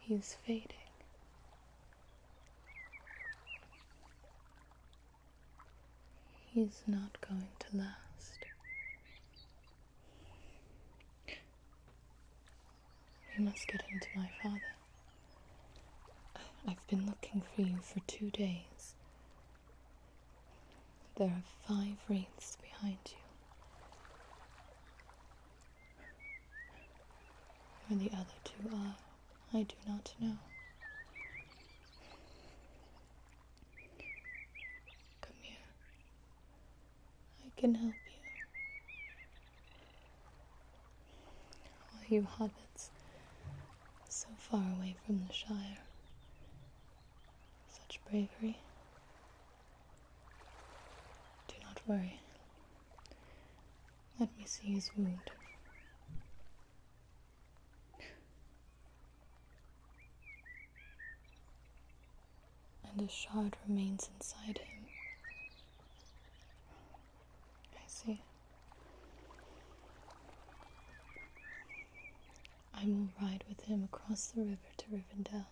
He's fading. He's not going to last. We must get him to my father. I've been looking for you for two days. There are five wreaths behind you. Where the other two are, I do not know. Come here. I can help you. All you hobbits, so far away from the Shire. Such bravery, do not worry. Let me see his wound. And a shard remains inside him. I see. I will ride with him across the river to Rivendell.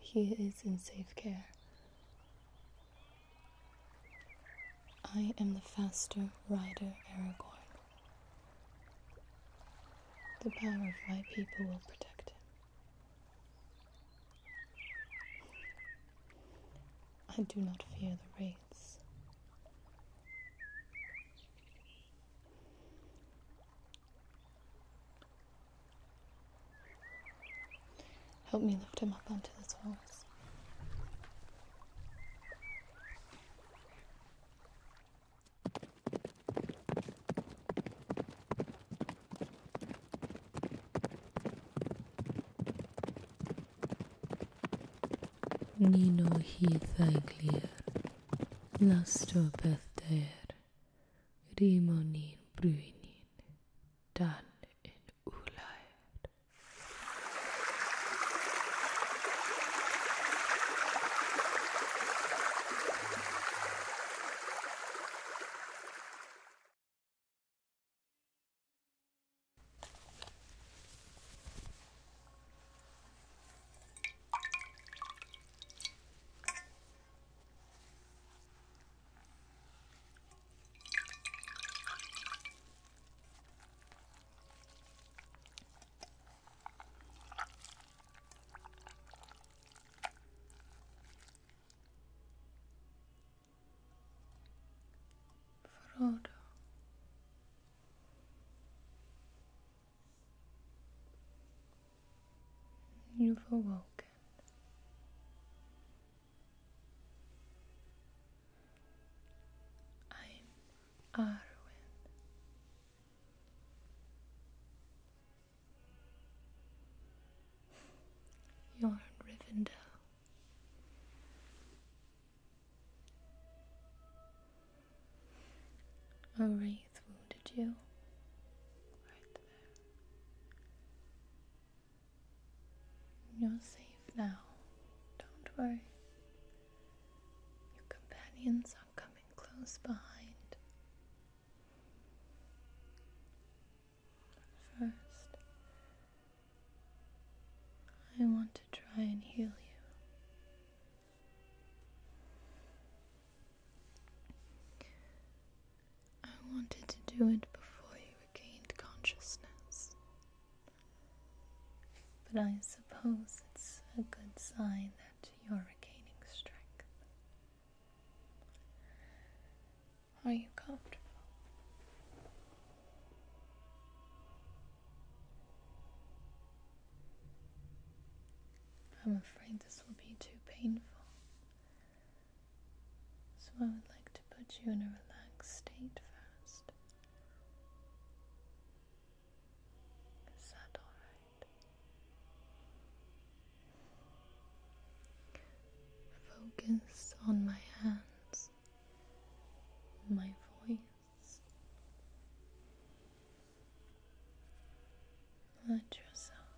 He is in safe care. I am the faster rider, Aragorn. The power of my people will protect him. I do not fear the wraiths. Help me lift him up onto the soles. Nino Heath Clear. Nastro Bethdeer, Rimonin Bruinin, Dan in Ulair. Frodo You've awoken. I'm Arwen. You're in Rivendell. A oh, wraith wounded you. You're safe now. Don't worry. Your companions are coming close behind. First, I want to try and heal you. I wanted to do it before you regained consciousness. But I suppose it's a good sign that you're regaining strength. Are you comfortable? I'm afraid this will be too painful. So I would like to put you in a relaxed state first. Is alright? Focus on my hands, my voice. Let yourself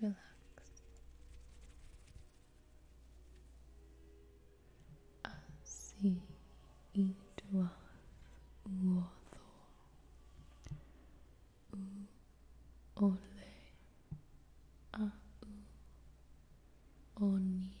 relax Asi idwaf uoddo u ole a ah, u onin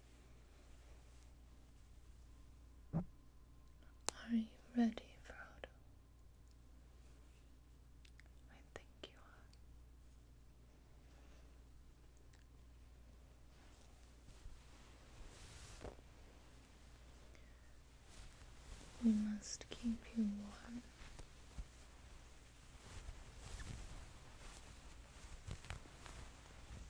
Are you ready, Frodo? I think you are. We must keep you warm.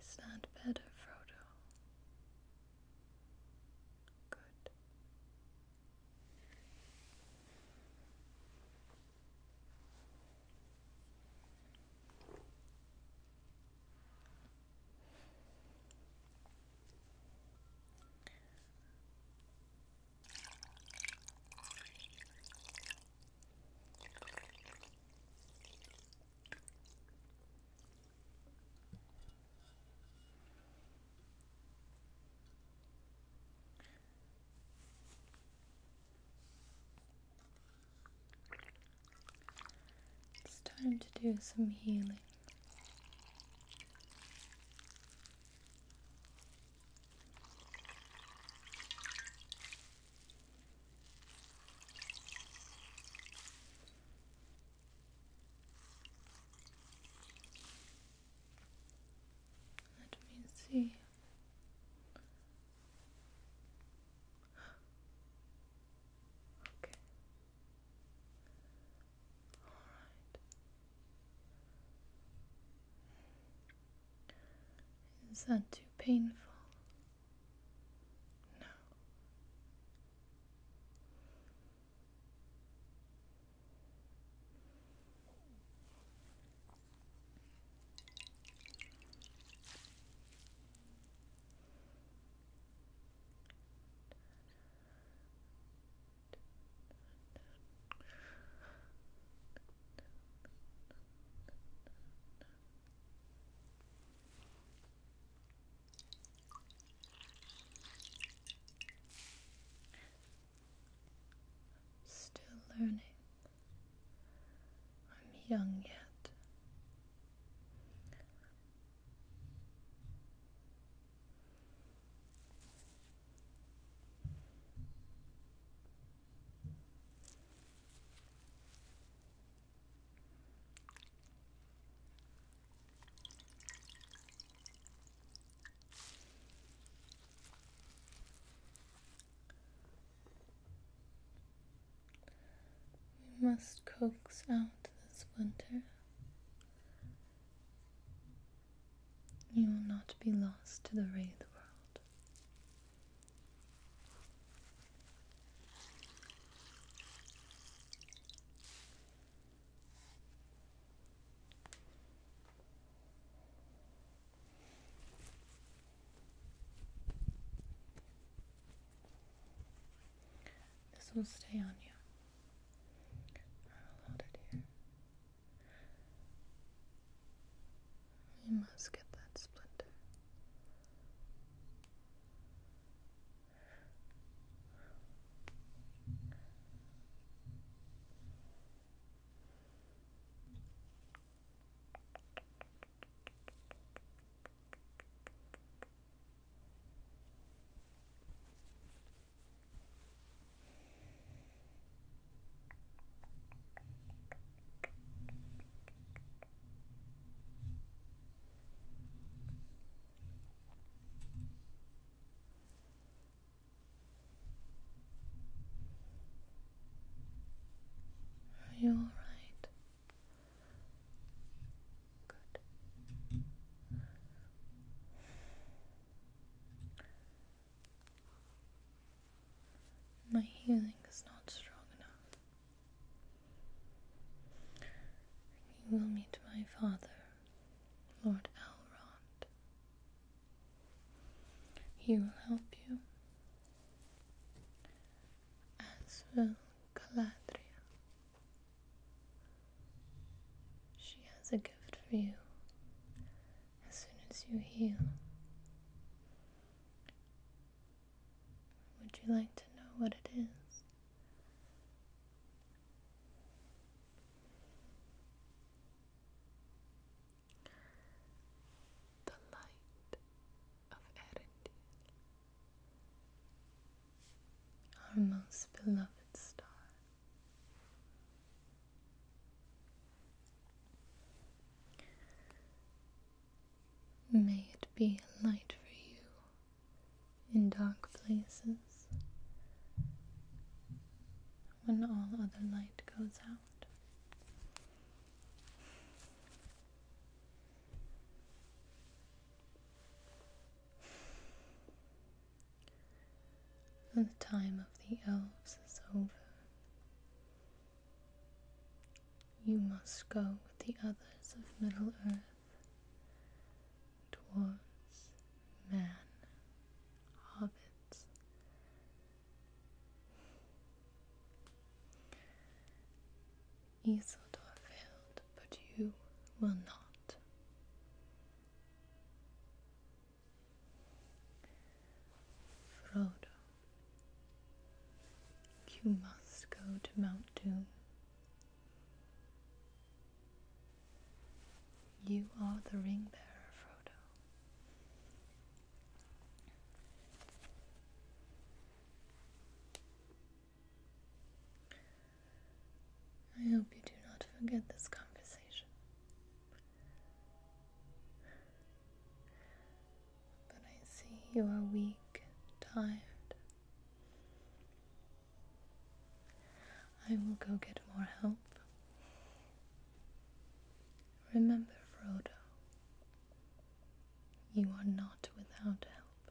Stand that better, Frodo? Good. It's time to do some healing. Let me see. Okay. Is that too painful? No. Still learning. I'm young yet. We must coax out the splinter. You will not be lost to the wraith world. This will stay on you. I'll hold it here. You must get that splinter. Are you all right? Good. My healing is not strong enough. You will meet my father, Lord Elrond. He will help you, as will Galadriel. She has a gift for you as soon as you heal. Would you like to know what it is? The light of Erendil, our most beloved star. May it be a light for you in dark places when all other light goes out. The time of the elves is over. You must go with the others of Middle Earth, dwarves, man, hobbits. Isildur failed, but you will not. Frodo, you must go to Mount Doom. You are the ring bearer, Frodo. I hope you do not forget this conversation. But I see you are weak, and tired. I will go get more help. Remember, Frodo, you are not without help.